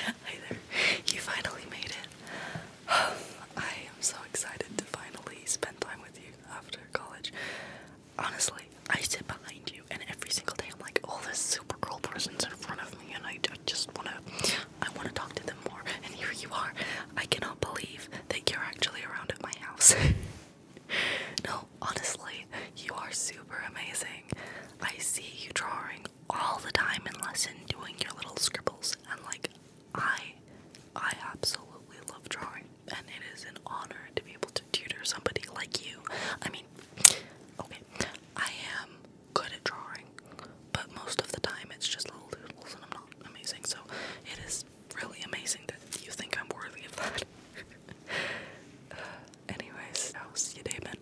Hi there. You finally made it. I am so excited to finally spend time with you after college. Honestly, I sit behind you, and every single day I'm like, all these super cool person's in front of me, and I, I just wanna, I wanna talk to them more. And here you are. I cannot believe believe you're actually around at my house. no, honestly, you are super amazing. I see you drawing all the time in lesson, doing your little scribbles, and like, I, I absolutely love drawing, and it is an honor to be able to tutor somebody like you. I mean, okay, I am good at drawing, but most of the time it's just little doodles, and I'm not amazing. So it is really amazing that you think I'm worthy of that. Anyways, I'll see you, David.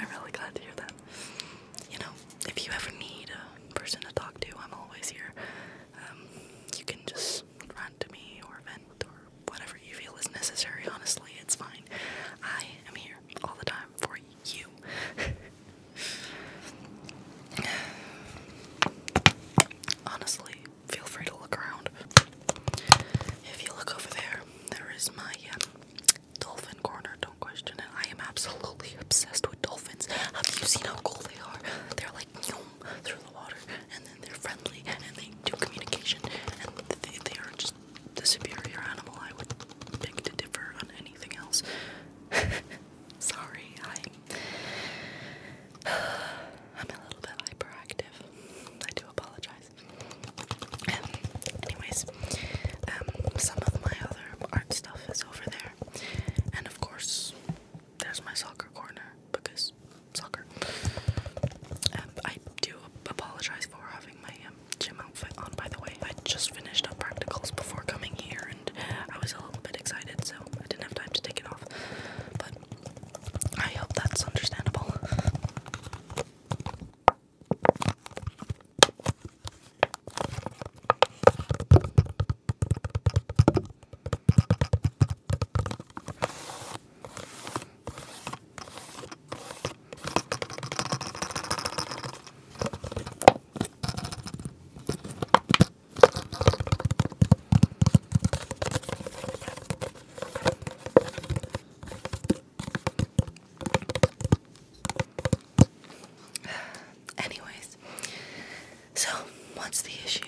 I'm really glad to hear that. You know, if you ever need a person to talk to, I'm always here. Um, you can just run to me or vent or whatever you feel is necessary. Honestly, it's fine. I am here all the time for you. Honestly, feel free to look around. If you look over there, there is my um, dolphin corner. Don't question it. I am absolutely obsessed with dolphins. Have you seen how cool they are? They're like through the water, and then they're friendly, and they do communication, and they, are just the superior animal. I would pick to differ on anything else. Sorry, I'm a little bit hyperactive. I do apologize. Um, anyways, um, some of my other art stuff is over there, and of course, there's my soccer corner because soccer. Um, I do apologize for having my gym outfit on. By the way, I just finished up practicals before coming here, I was a little bit excited, so I didn't have time to take it off. But I hope that's understandable. Anyways, so what's the issue?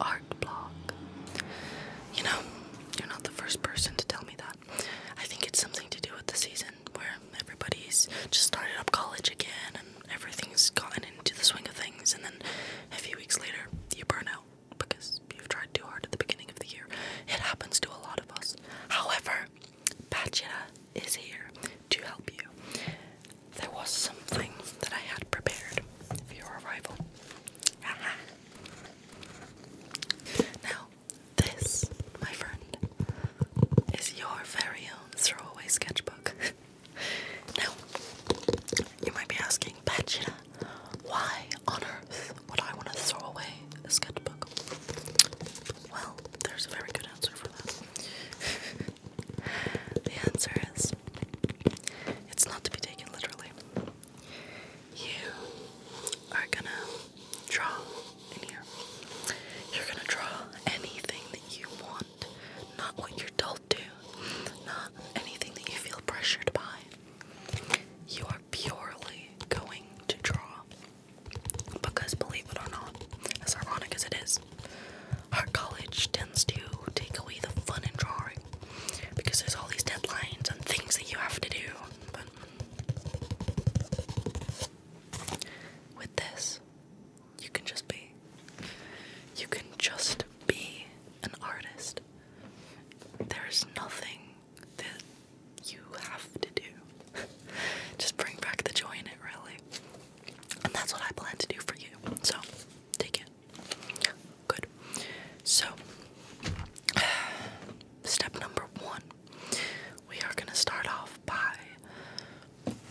Art block. You know, you're not the first person to tell me that. I think it's something to do with the season where everybody's just started up college again and everything's gotten into the swing of things, and then a few weeks later, you burn out because you've tried too hard at the beginning of the year. It happens to a lot of us. However, Pachira is here to help you. There was something that I had prepared for your arrival. Now, this, my friend, is your very own throwaway sketchbook. now, you might be asking, Pachita, why on earth would I want to throw away a sketchbook? Well, there's a very good answer for that. the answer is it's not to be taken literally. You are gonna draw in here. You're gonna draw anything that you want, not what you're told to, not anything that you feel pressured by. You are purely going to draw. Because believe it or not, as ironic as it is, our college tends to take away the fun in drawing because there's all these deadlines and things that you have to do. But with this, you can just be. You can just be an artist. There is nothing that you have to do. just bring back the joy in it, really. And that's what I plan to do for you. So, take it. Good. So, step number one we are going to start off by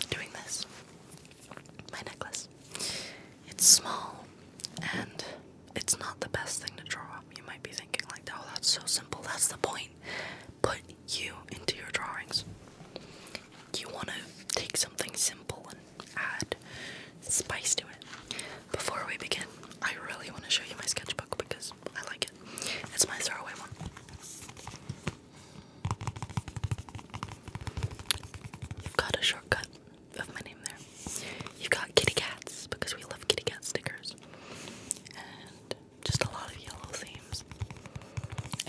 doing this. My necklace. It's small and it's not the best thing to draw. You might be thinking, like, oh, that's so simple. That's the point. Put you into your drawings. You want to take something simple and add spice to it. Before we begin, I really want to show you my sketchbook because nice. I like it. It's my throwaway one. You've got a shortcut of my name there. You've got kitty cats because we love kitty cat stickers. And just a lot of yellow themes.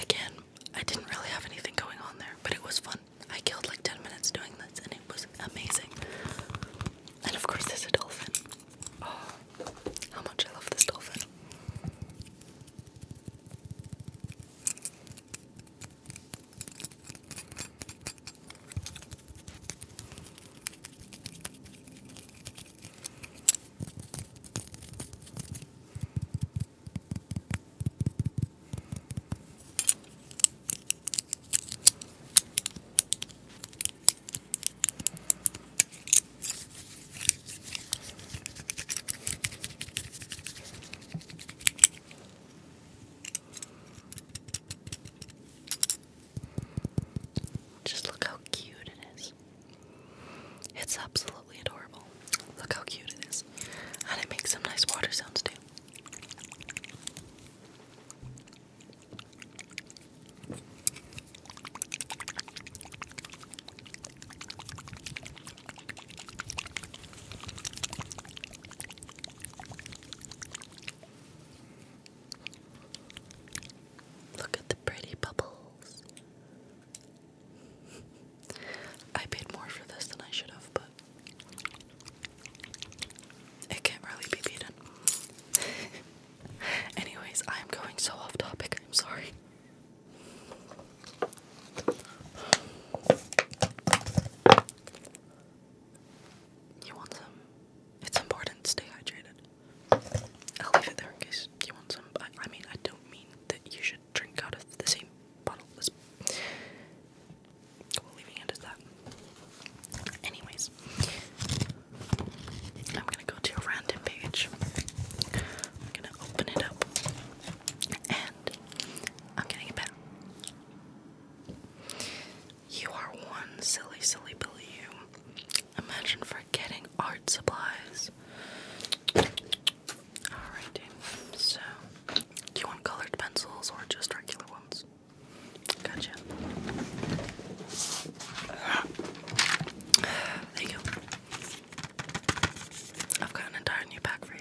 Again, I didn't really have anything going on there, but it was fun. I killed like 10 minutes doing this and it was amazing. And of course, there's a dolphin. how much I love this dolphin. Just look how cute it is. It's absolutely adorable. Look how cute it is. And it makes some nice water sounds too. Look at the pretty bubbles. I paid more for this than I should have, but it can't really be beaten. Anyways, I'm going so off topic. I'm sorry. You want some? It's important stay hydrated. I'll leave it there in case you want some. I, mean, I don't mean that you should drink out of the same bottle. we're leaving it as that. Anyways, I'm gonna go to a random page. I'm gonna open it up and I'm getting it You are one silly, silly billy you. Imagine forgetting art supplies. Alrighty, so do you want colored pencils or just regular ones? Gotcha. There you go. I've got an entire new pack for you.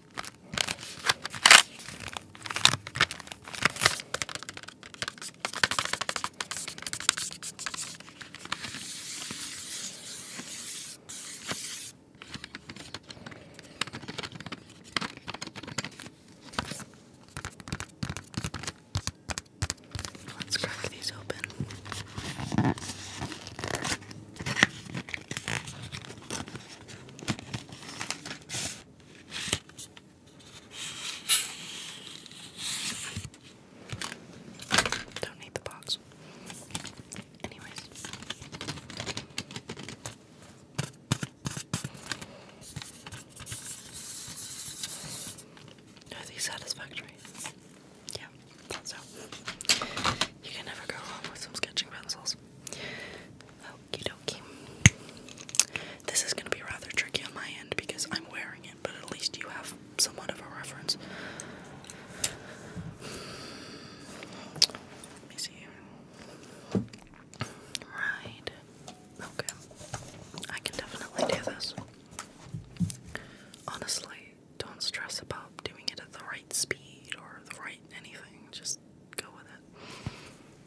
Let's crack these open. Don't need the box. Anyways. Are these satisfactory? Yeah, so you can never go wrong with some sketching pencils. Okie dokie. This is going to be rather tricky on my end because I'm wearing it, but at least you have somewhat of a reference. Right. Okay. I can definitely do this. Honestly, don't stress about doing it at the right speed or the right anything. Just go with it.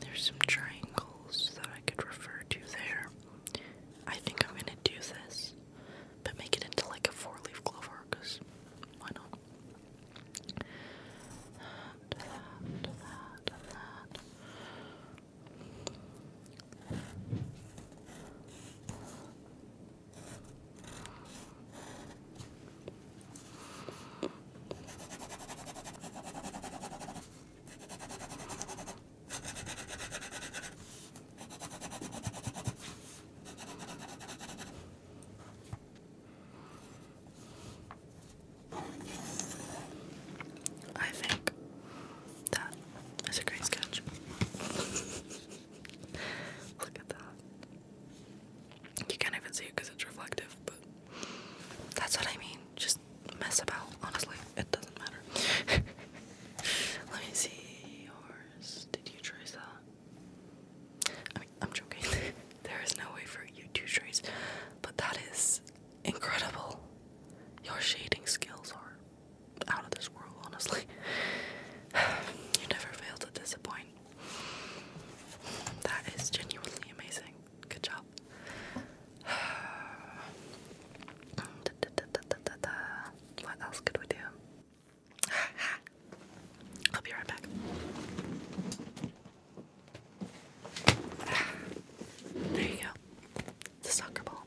There's some triangles that I could refer to there. I think I'm gonna do this, but make it into like a four leaf clover, because why not? I think that is a great sketch. Look at that. You can't even see it because it's reflective, but that's what I mean. Just mess about. Honestly, it doesn't matter. Let me see yours. Did you trace that? I'm joking. there is no way for you to trace, but that is incredible. Your shading skills are out of this world, honestly. you never fail to disappoint that is genuinely amazing. Good job. What else could we do? I'll be right back. There you go. The soccer ball.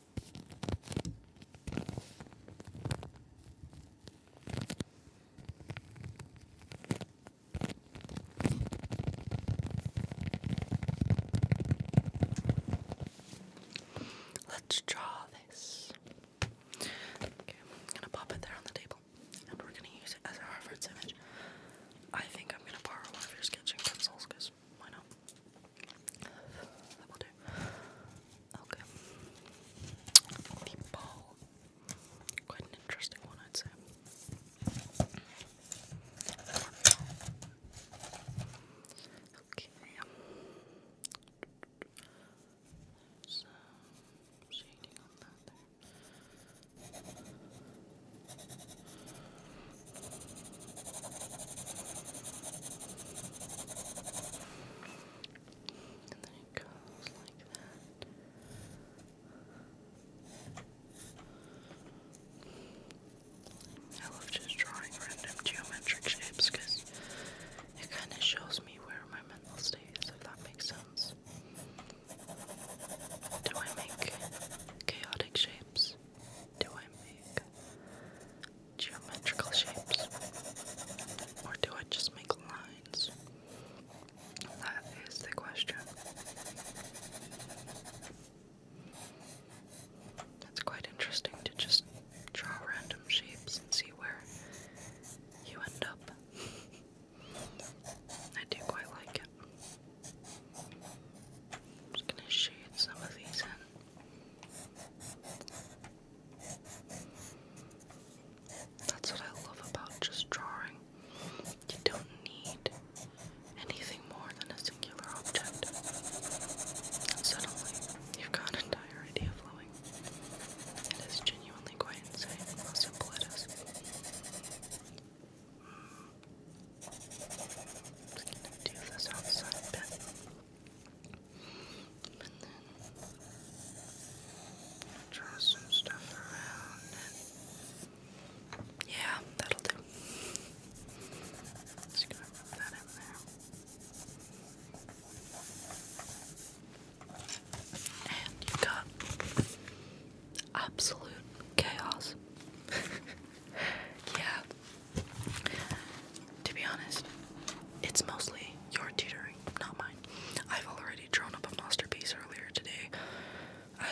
Let's draw this. Okay, I'm gonna pop it there on the table and we're gonna use it as a reference image. I think I'm gonna borrow one of your sketching pencils because why not? That will do. Okay. Meatball. Quite an interesting one, I'd say. Okay. So, shading on that there. I love just drawing random geometric shapes because it kind of shows me where my mental state is, if that makes sense. Do I make chaotic shapes? Do I make geometrical shapes? Or do I just make lines? That is the question. It's quite interesting to just draw random shapes and see where you end up. I do quite like it. just gonna shade some of these in. That's what I love about just drawing. You don't need anything more than a singular object. suddenly, you've got an entire idea flowing. It is genuinely quite insane how simple hmm. just gonna do this outside a bit yeah, that'll do. Just gonna rub that in there. And you've got absolute chaos. yeah to be honest, it's mostly your tutoring, not mine. I've already drawn up a masterpiece earlier today. I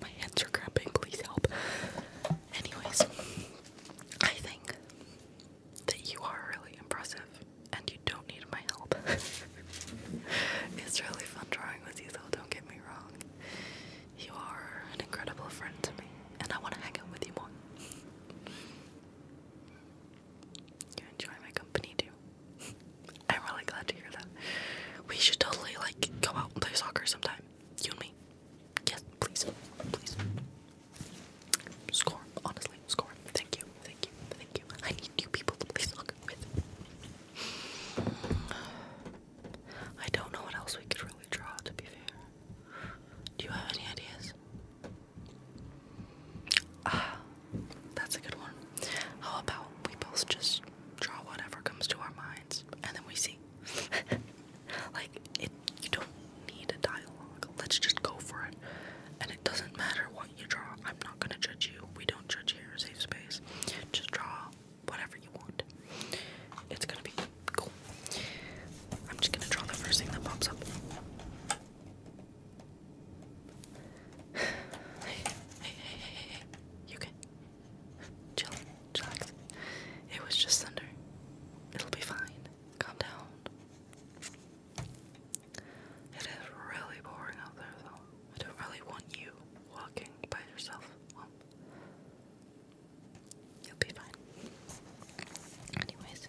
my hands are cramping, please help. Anyways, I think that you are really impressive and you don't need my help. it's really fun drawing with you though, don't get me wrong. You are an incredible friend to me, and I want to hang out with you more. You enjoy my company too. I'm really glad to hear that. We should totally like go out and play soccer sometime. You and me. Yes, please. Please. Score. Honestly, score. Thank you. Thank you. Thank you. I need new people to play soccer with. I don't know what else we could really draw to be fair. Do you have any ideas? Ah, that's a good one. How about we both just draw whatever comes to our minds and then we see? like, it, you don't need a dialogue. Let's just go for it. And it doesn't matter what you draw. I'm not gonna judge you. We don't judge here, safe space. Just draw whatever you want. It's gonna be cool. I'm just gonna draw the first thing that pops up. hey, hey, hey, hey, hey. You can chill, relax. It was just thunder. It'll be fine. Calm down. It is really boring out there, though. I don't really want you walking by yourself. Well, you'll be fine. Anyways,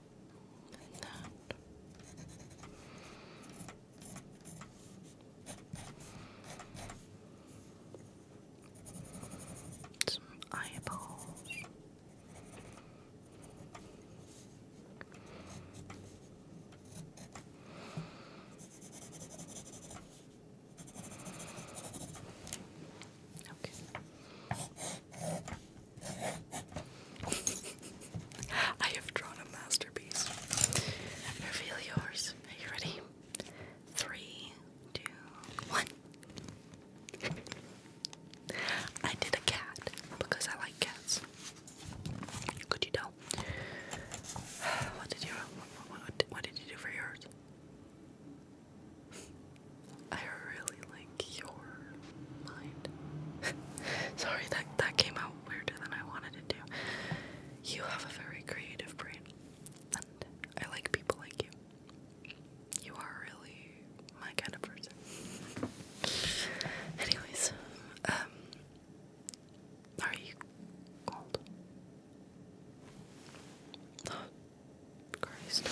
and that. Some eyeballs. Okay. I have drawn a masterpiece. Reveal yours. Are you ready? Three, two, one. I did a cat because I like cats. Could you tell? What did you what, did you do for yours? I really like your mind. Sorry, that that came out weirder than I wanted it to. You have a very creative brain, and I like people like you. You are really my kind of person. Anyways, um, are you cold? Oh, Christ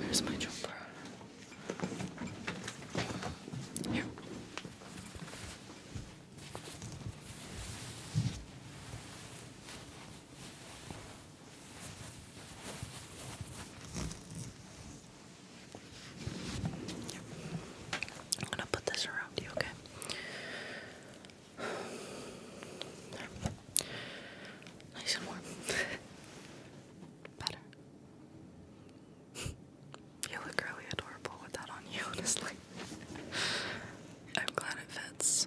where's my jumper? Here. I'm gonna put this around you, okay? There. Nice and warm. Better. You look really adorable with that on you, honestly. I'm glad it fits.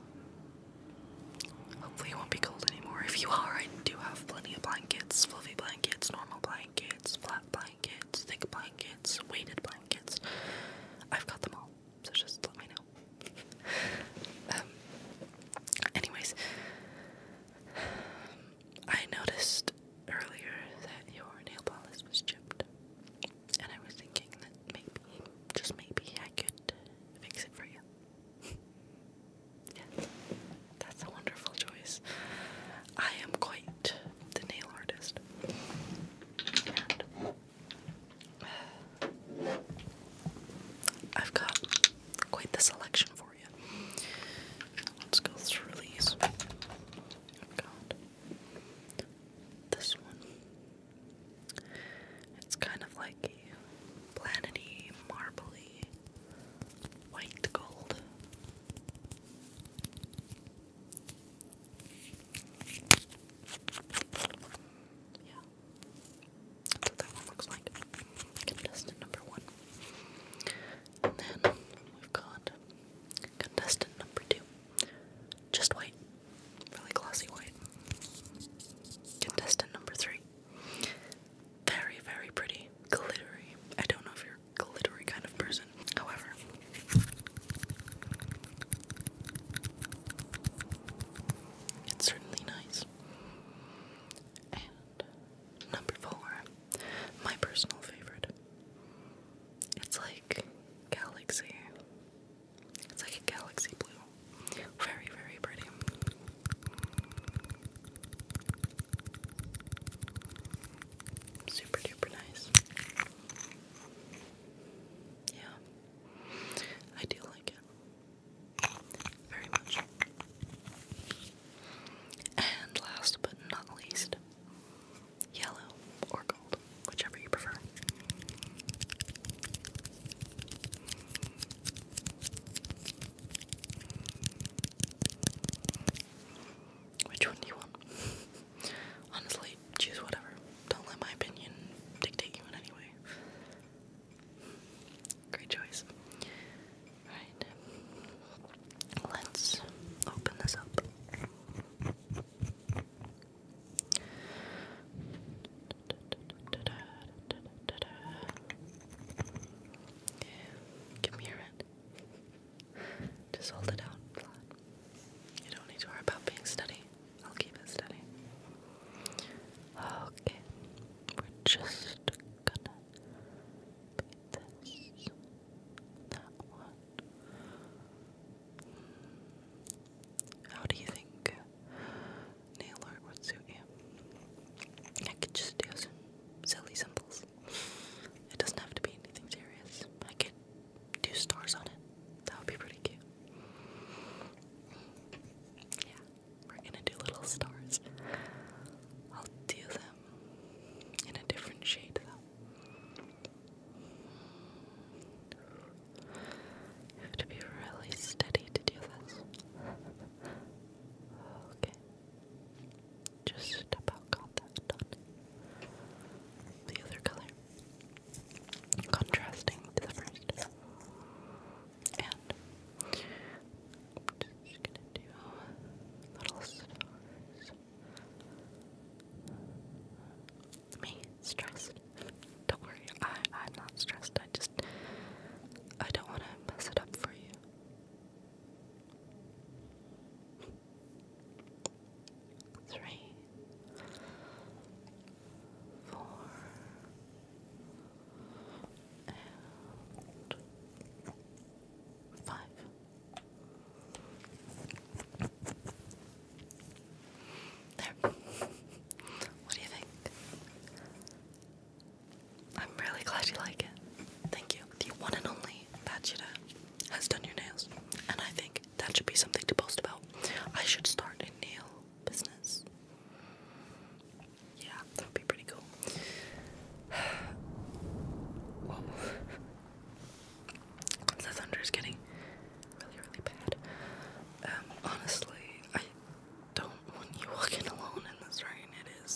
Hopefully, it won't be cold anymore. If you are, I do have plenty of blankets fluffy blankets, normal blankets, flat blankets, thick blankets, weighted blankets. I've got them all, so just let me know. Um, anyways, I noticed earlier that your nail polish was chipped, and I was thinking that maybe, just maybe, I could fix it for you. yeah, that's a wonderful choice. I am quite the nail artist. Uh, I've got quite the selection for you. Let's go through these. this one. It's kind of like a marbly, white gold. Yeah. That's what that one looks like. Contestant number one. And then we've got contestant number two. Just white. Really glossy white. Contestant number three. Very, very pretty. Glittery. I don't know if you're glittery kind of person. However, it's certainly nice. And number four, my personal favorite. It's like galaxy. It's like a galaxy blue. Very, very pretty. Super duper nice. Yeah. I do like it very much. And last but not least, yellow or gold, whichever you prefer. Which one do you want? Honestly, choose whatever. Don't let my opinion dictate you in any way. Great choice. Right. Let's open this up. Give me your hand. Just hold it out You don't need to worry about being steady. I'll keep it steady. Okay. We're just gonna put this, that one. How do you think nail art would suit you? I could just do some silly symbols. It doesn't have to be anything serious. I could do stars on it. That would be pretty cute. Yeah. We're gonna do little stars. I'll do them in a different shade though. have to be really steady to do this. Okay. Just about got that done. The other color. Contrasting to And just gonna do little stars. Me stressed? Don't worry, I I'm not stressed. I just I don't want to mess it up for you. Three, four, five. There. What do you think? I'm really glad you like it. Thank you. The one and only Batchita has done your nails, and I think that should be something to post about. I should start a nail business yeah, that would be pretty cool. The thunder is getting really, really bad. Um, honestly, I don't want you walking alone in this rain. It is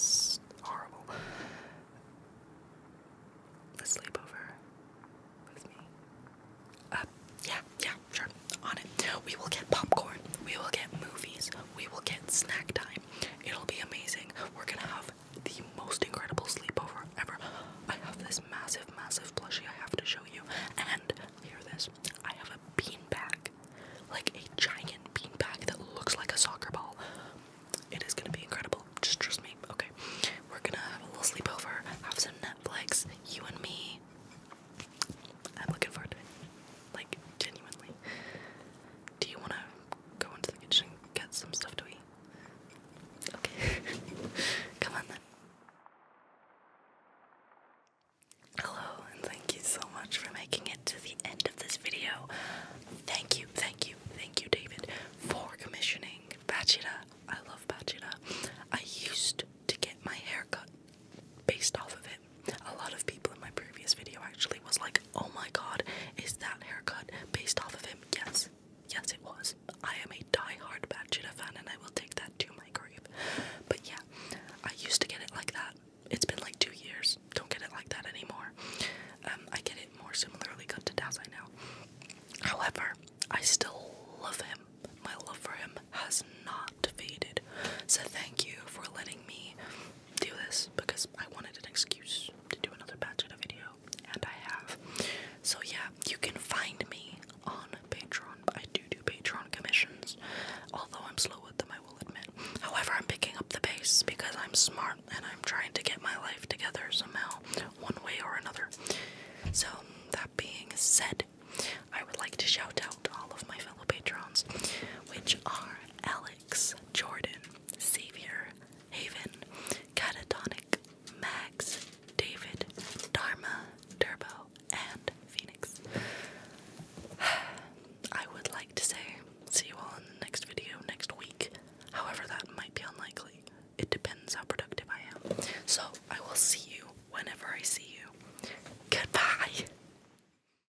horrible. A sleepover with me. Uh, yeah, yeah, sure. On it. We will get popcorn. We will get movies we will get snack time. It'll be amazing. We're gonna have the most incredible sleepover ever. I have this massive, massive plushie I have to show you. And hear this I have a bean bag, like a giant bean bag that looks like a soccer ball. It is gonna be incredible. Just trust me. Okay, we're gonna have a little sleepover, have some Netflix, you and me. I'm looking forward to it. Like, genuinely. Do you want to go into the kitchen and get some stuff to eat? Okay. Come on then. Hello, and thank you so much for making it to the end of this video. Thank you, thank you, thank you, David, for commissioning Bachida. I love Bachida. I used to get my hair cut based off of it. A lot of people in my previous video actually was like, oh my god, is that haircut based off of him? Yes, yes, it was. I am a die-hard Batchita fan and I will take that to my grave. But yeah, I used to get it like that. It's been like two years. Don't get it like that anymore. Um, I get it more similarly cut to Dazai now. However, I still love him. My love for him has not faded. So thank you for letting me do this because I wanted an excuse to do another batch of video, and I have. So yeah, you can find me on Patreon. I do do Patreon commissions, although I'm slow with them, I will admit. However, I'm picking up the pace because I'm smart and I'm trying to get my life together somehow, one way or another. So that being said, I would like to shout out all of my fellow patrons, which are Ellen, Alex, Jordan, Savior, Haven, Catatonic, Max, David, Dharma, Turbo, and Phoenix. I would like to say, see you all in the next video next week. However, that might be unlikely. It depends how productive I am. So, I will see you whenever I see you. Goodbye!